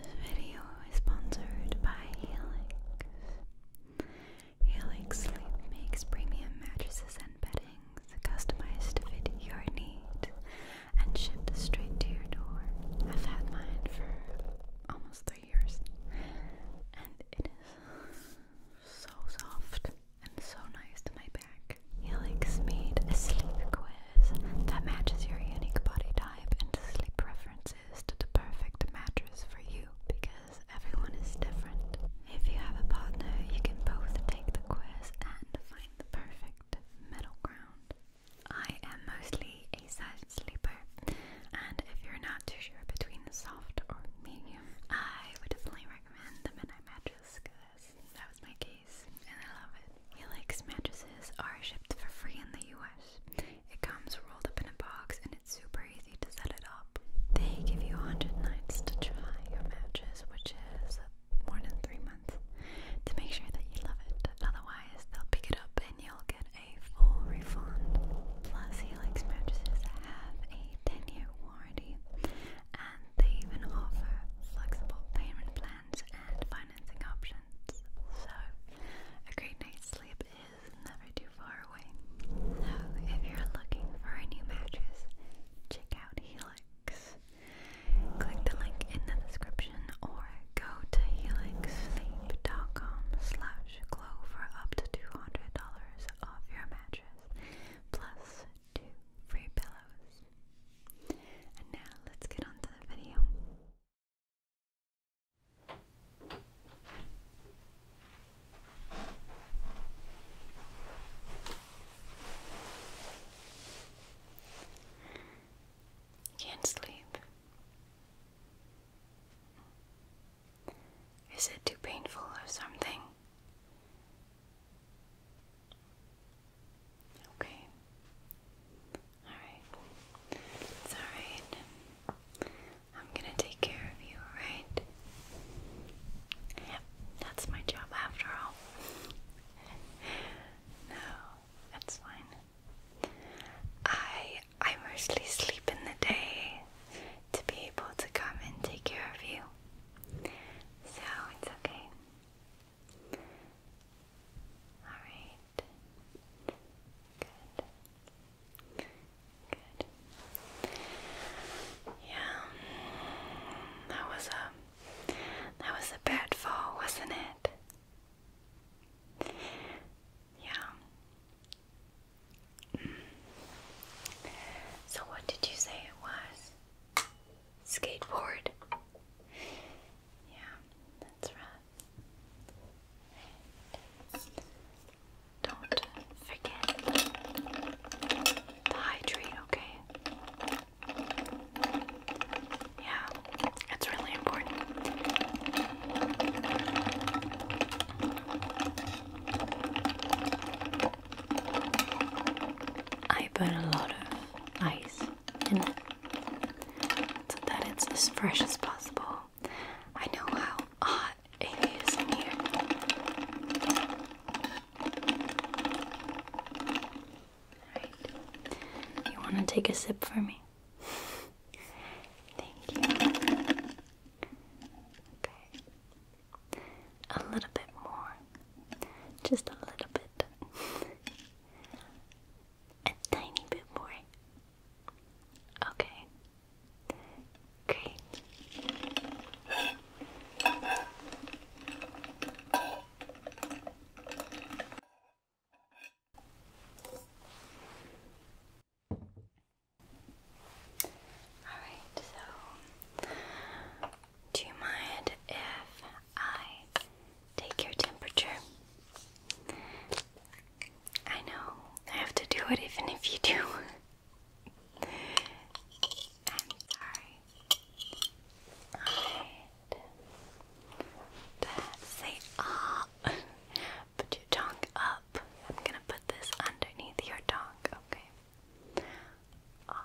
This video is sponsored by Helix. Helix Sleep makes premium mattresses and beddings customized to fit your needs and shipped straight to your door. I've had mine for almost three years, and it is so soft and so nice to my back. Healing Speed, a sleep quiz that matches your unique body type and sleep preferences to the perfect mattress for you because everyone is different. If you have a partner, you can both take the quiz and find the perfect middle ground. I am mostly a silent sleeper, and if you're not too sure between soft or medium, I would definitely recommend the Midnight Mattress desk. That's, that was my case, and I love it. Helix mattresses are shipped for free in the US. It comes rolled up in a box, and it's super easy to set it up. They give you 100 nights to try your mattress, which is more than three months, to make sure that you love it. Otherwise, they'll pick it up and you'll get a full refund. Plus, Helix mattresses have a 10 year warranty and they even offer flexible payment plans and financing options. So, a great night's sleep is never too far away. So, if you're looking for a new mattress, check out Helix. Click the link in the description or go to helixsleep.com glow for up to $200 off your mattress, plus two free pillows now let's get on the video. can't sleep. Is it too painful or something? Okay. Alright. It's alright. I'm gonna take care of you, alright? Yep, that's my job after all. no, that's fine. I I mostly sleep in the day to be able to come and take care of you. So it's okay. Alright. Good. Good. Yeah. Mm. That was a that was a bad fall, wasn't it? Yeah. So what did you say it was? Skateboard. Yeah, that's right. don't forget the hydrate, okay? Yeah, it's really important. I burn a lot of ice in so that it's as fresh as possible. I know how hot it is in here. you want to take a sip for me? Thank you. Okay. A little bit more. Just a little bit. A tiny bit more. Okay. Great. All right, so do you mind if I take your temperature? I know I have to do it even if you do. i sorry. Alright. Say ah, put your tongue up. I'm gonna put this underneath your tongue, okay? Ah,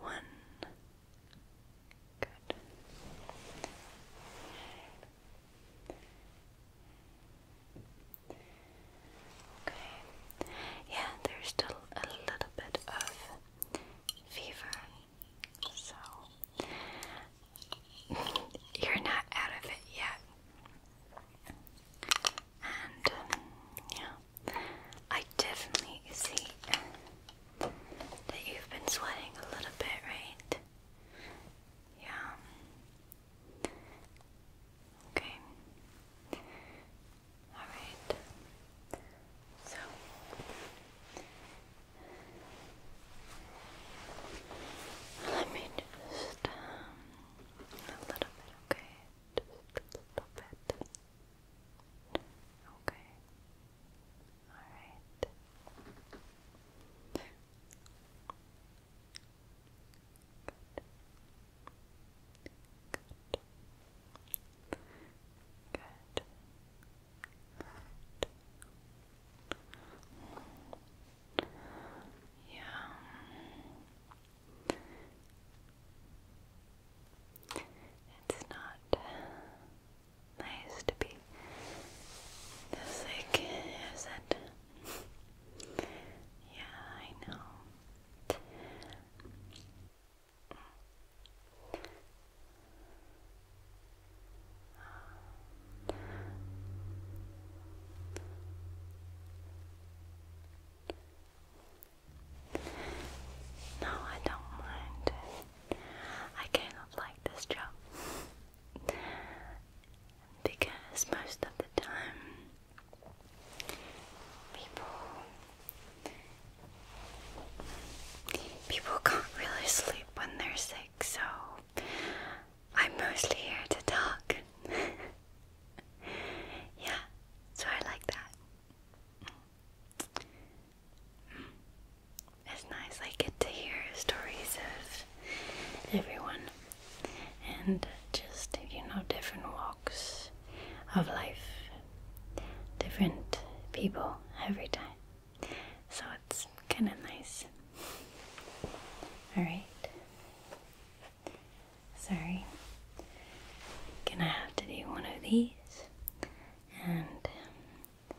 One. Good. Okay. Yeah, there's still a little bit of fever. So you're not out of it yet and um, yeah, I definitely see that you've been sweating a little bit, right? Yeah. Okay. Alright. So. Let me just, um, a little bit, okay? Just a little bit. Okay. Alright. Good. Good. Yeah. It's not nice to be sick, is it? yeah, I know. No, I don't mind. I kind of like this job because most of the time people people can't really sleep when they're sick, so I'm mostly here to talk. yeah, so I like that. It's nice, I get to hear stories of everyone and just, you know, different walks of life, different people every time. So it's kind of nice. Alright, Sorry. Gonna have to do one of these. And um,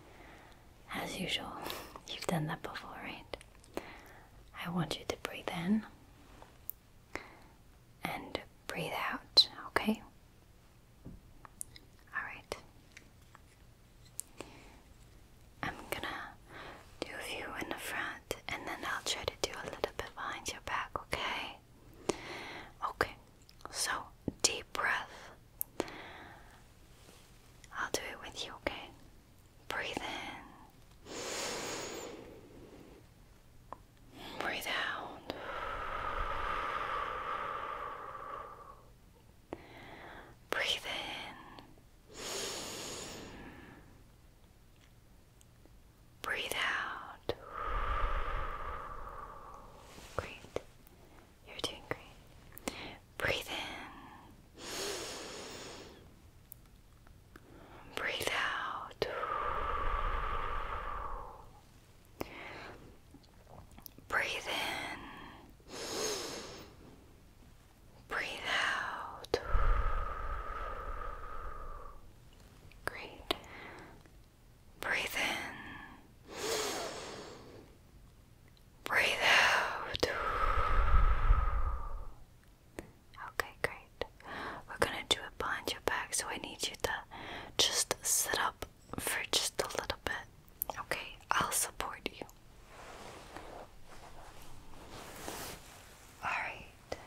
as usual, you've done that before, right? I want you to breathe in and breathe out, okay? Alright. I'm gonna do a few in the front and then I'll try to do a little bit behind your back, okay? okay? so deep breath. I'll do it with you, okay? Breathe in. Breathe out. Breathe in. Breathe out. Great. You're doing great. Breathe in. Breathe out. Breathe in. Breathe out. Great. Breathe in. Breathe out. Okay, great. We're gonna do it behind your back, so I need you to just sit up for just a little bit. Okay, I'll support you. Alright,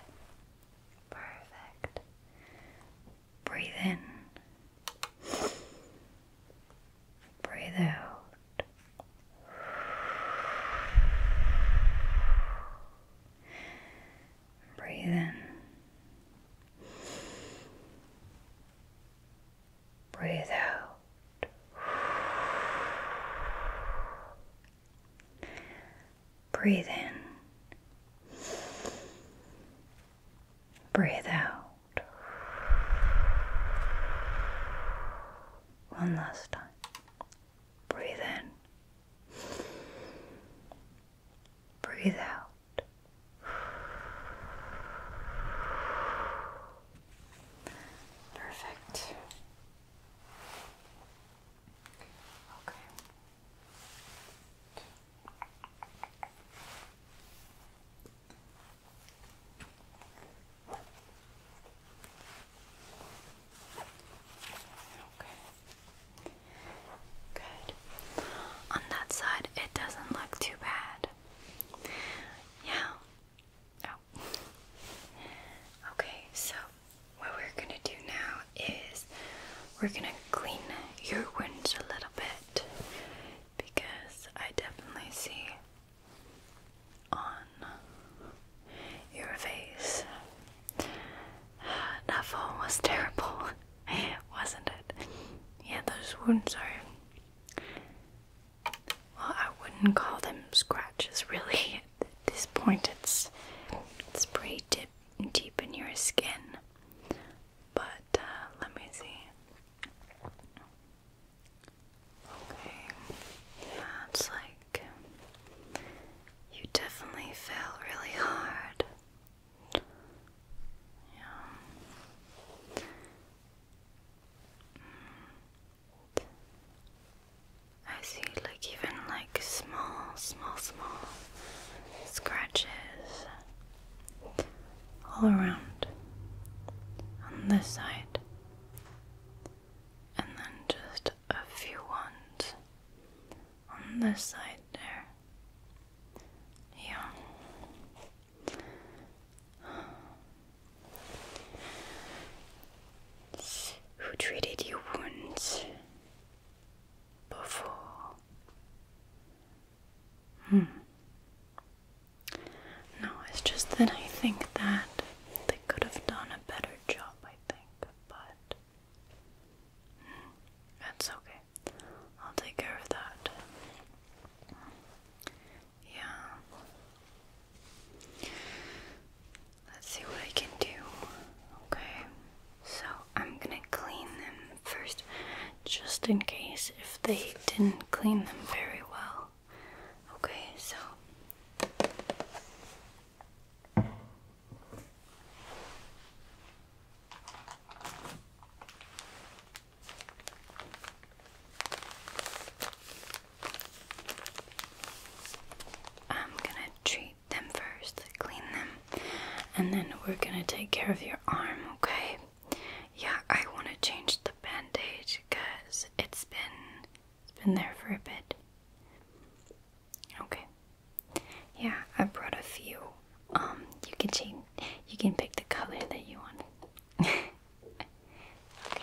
Perfect. Breathe in. Breathe out. Breathe in. Breathe out. Breathe in. Breathe out. One last time. Breathe in. Breathe out. Perfect. Okay. Okay. Good. On that side, it doesn't look too bad. Yeah. Oh. Okay, so what we're gonna do now is we're gonna clean your wounds a little bit because I definitely see on your face that fall was terrible, wasn't it? Yeah, those wounds are well, I wouldn't call them scratches really. At this point, it's it's pretty deep deep in your skin. But uh, let me see. Okay, yeah, it's like you definitely fell really hard. Yeah. Mm. I see like even like small, small, small scratches all around on this side, and then just a few ones on this side there. Yeah. Who treated you wounds? before. Hmm. No, it's just that I think that they could have done a better job, I think, but that's okay. I'll take care of that. Yeah. Let's see what I can do. Okay. So I'm gonna clean them first, just in case if they didn't clean them very well. Okay, so. I'm gonna treat them first, clean them, and then we're gonna take care of your arm, okay? Yeah, I want to change the bandage because it's been it's been there for a bit. Okay. Yeah, I brought a few. Um, you can change. You can pick the color that you want. okay.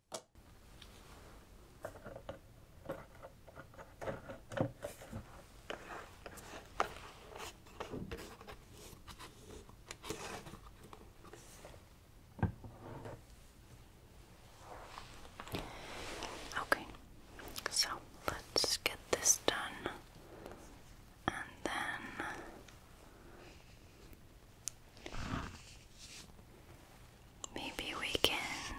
Okay, so let's get this done and then Maybe we can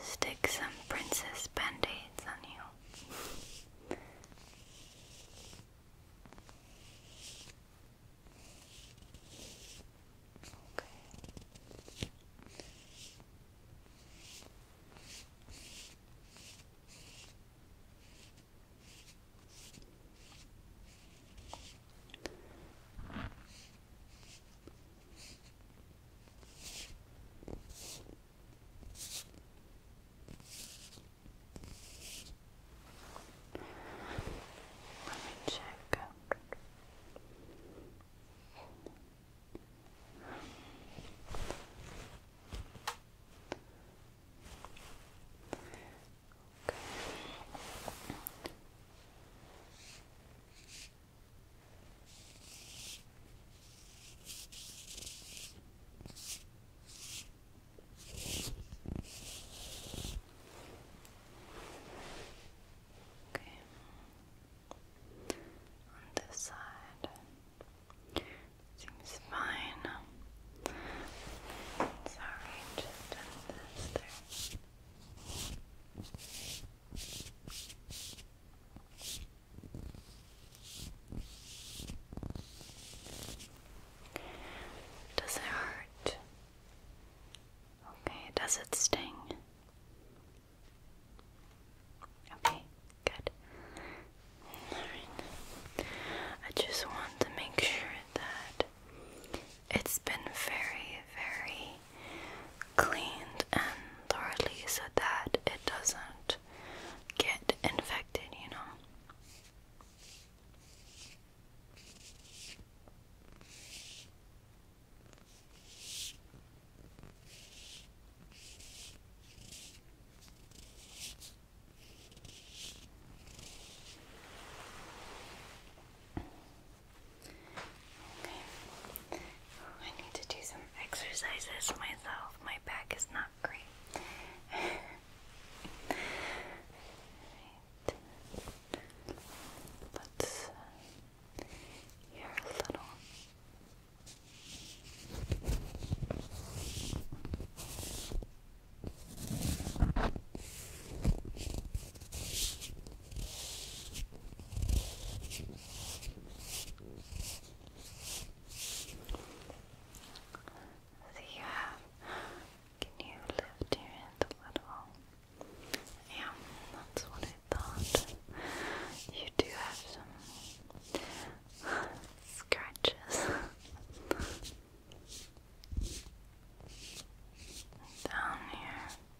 stick some princess band-aids on you. Okay. Let me check. Okay. Okay. On this side seems fine. Sorry, just done this does it hurt? Okay, does it sting? Okay, good. Alright. I just want to make sure that it's been very, very cleaned and thoroughly so that it doesn't get infected, you know. I need to do some exercises myself. My back is not great. right. Let's a little. So you uh, Can you lift your hand a little? Yeah, that's what I thought. You do have some scratches. Down here.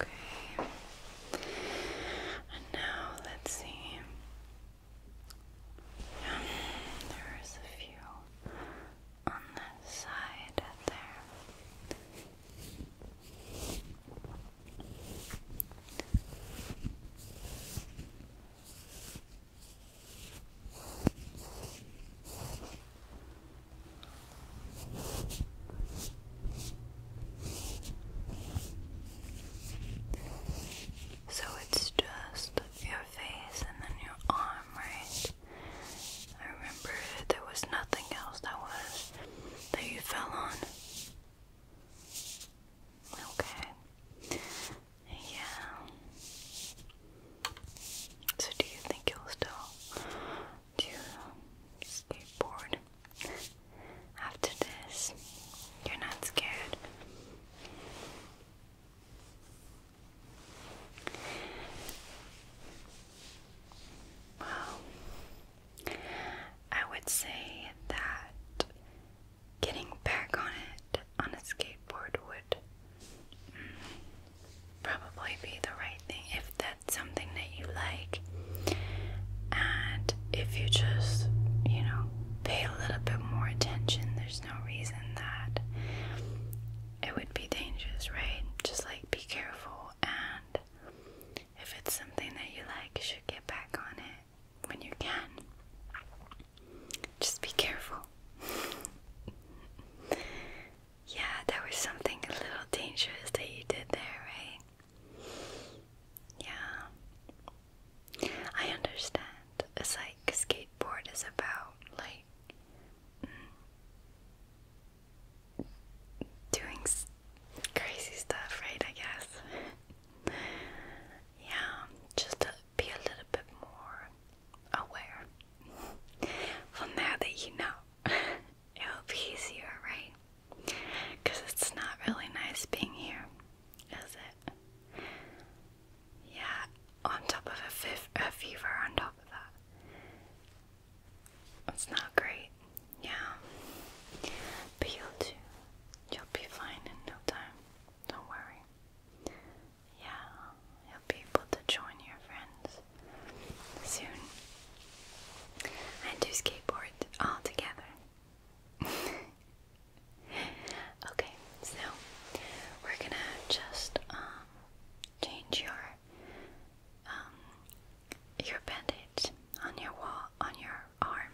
Okay. And now let's see. Um, there's a few on the side there. So it's just your face and then your arm, right? I remember there was nothing else that was that you fell on. Okay. Yeah. So do you think you'll still do skateboard? After this, you're not scared. Well, I would say that getting back on it on a skateboard would mm, probably be the right thing if that's something that you like. And if you just, you know, pay a little bit more attention, there's no reason that it would be dangerous, right? Just like be careful, and if it's something that you like, you should get back on it when you can. Just be careful. yeah, there was something a little dangerous that you did there, right? Yeah. I understand. It's like skateboard is about like mm, doing crazy stuff, right? I guess. yeah, just to be a little bit more aware. well, now that you know, it'll be easier, right? Because it's not really nice being here, is it? Yeah, on top of a, fif a fever, on top of that. It's not great, yeah. But you'll do. You'll be fine in no time. Don't worry. Yeah, you'll be able to join your friends soon. I do skateboard all together. okay, so we're gonna just um change your um your bandage on your wall on your arm.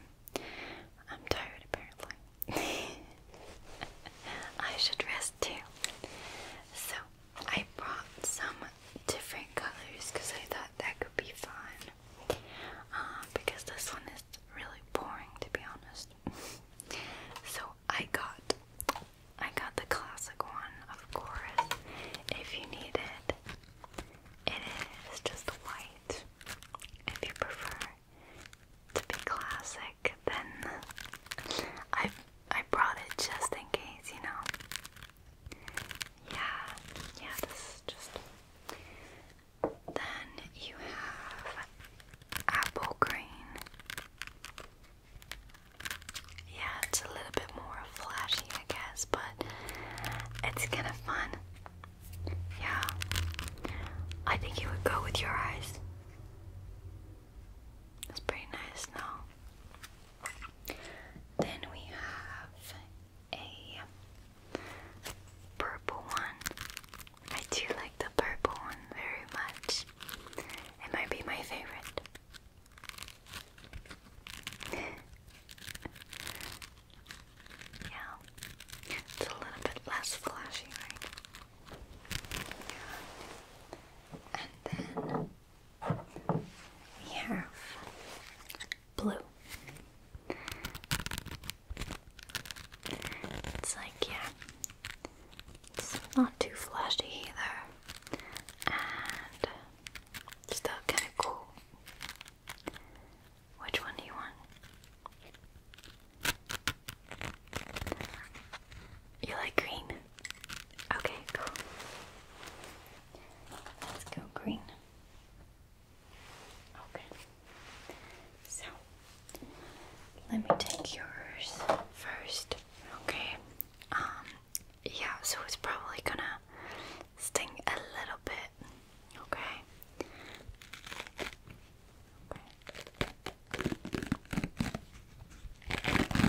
I'm tired apparently. I should rest too. So I brought some different colors because I thought that could be fun. Uh, because this one is really boring to be honest. so I got I got the classic one, of course. If you need it, it is just white. If you prefer to be classic, then i I brought it just in case, you know. Yeah, yeah, this just. Then you have apple green. Yeah, it's a little bit more flashy, I guess, but it's kind of fun. Yeah, I think it would go with your eyes. That's pretty nice, no? Then we have a purple one. I do like the purple one very much. It might be my favorite. yeah. It's a little bit less flashy, right? Yeah. And then we have blue. It's like, yeah, it's not too flashy either, and still kind of cool. Which one do you want? You like green? Okay, cool. Let's go green. Okay. So let me take yours first. Okay. Um yeah, so it's probably gonna sting a little bit. Okay. Okay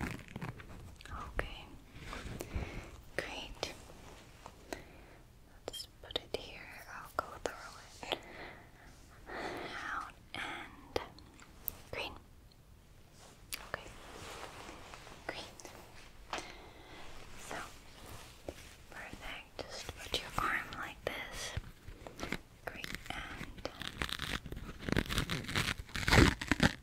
Okay, great. Let's put it here. I'll go through it. Out and green. Okay, great. So, perfect. Just put your arm like this. Great, and.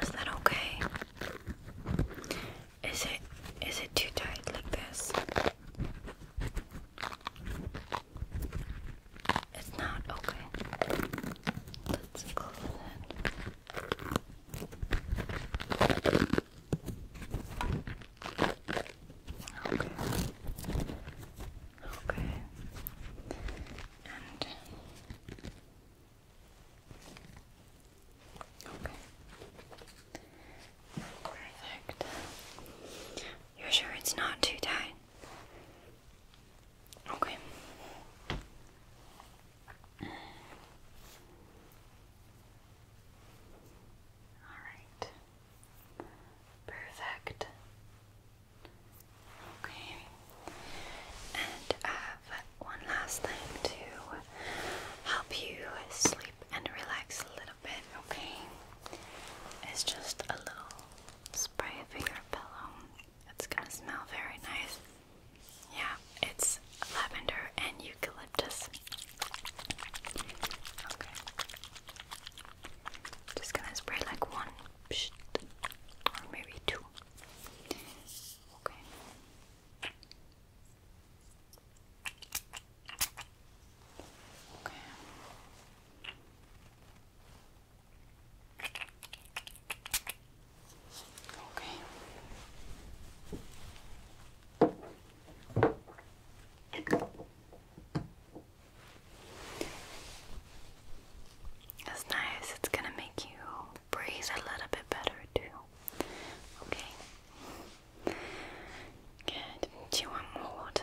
Is that okay? Is it is it too tight like this? It's not okay. Let's close it. Okay. Okay. And Okay. Perfect. You're sure it's not too tight? Okay. All right. Perfect. Okay. And I have one last thing to help you sleep and relax a little bit, okay? It's just a little spray it over your pillow. It's gonna smell very nice. Yeah, it's lavender and eucalyptus. Okay. Just gonna spray like one, or maybe two. Okay. Okay. That's nice. It's going to make you breathe a little bit better, too. Okay. Good. Do you want more water?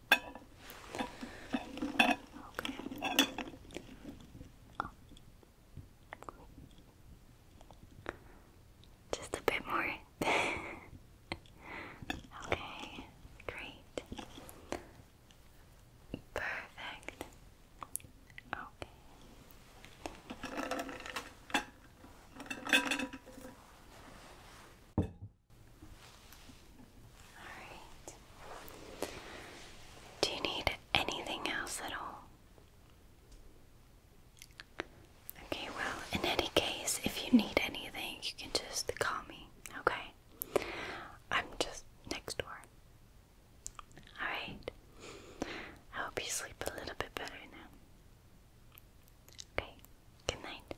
Okay. Just a bit more. okay, great. Perfect. Okay. Do you need anything else at all? Okay, well, in any case, if you need anything, you can just call me, okay? I'm just next door. Alright. I hope you sleep a little bit better now. Okay, good night.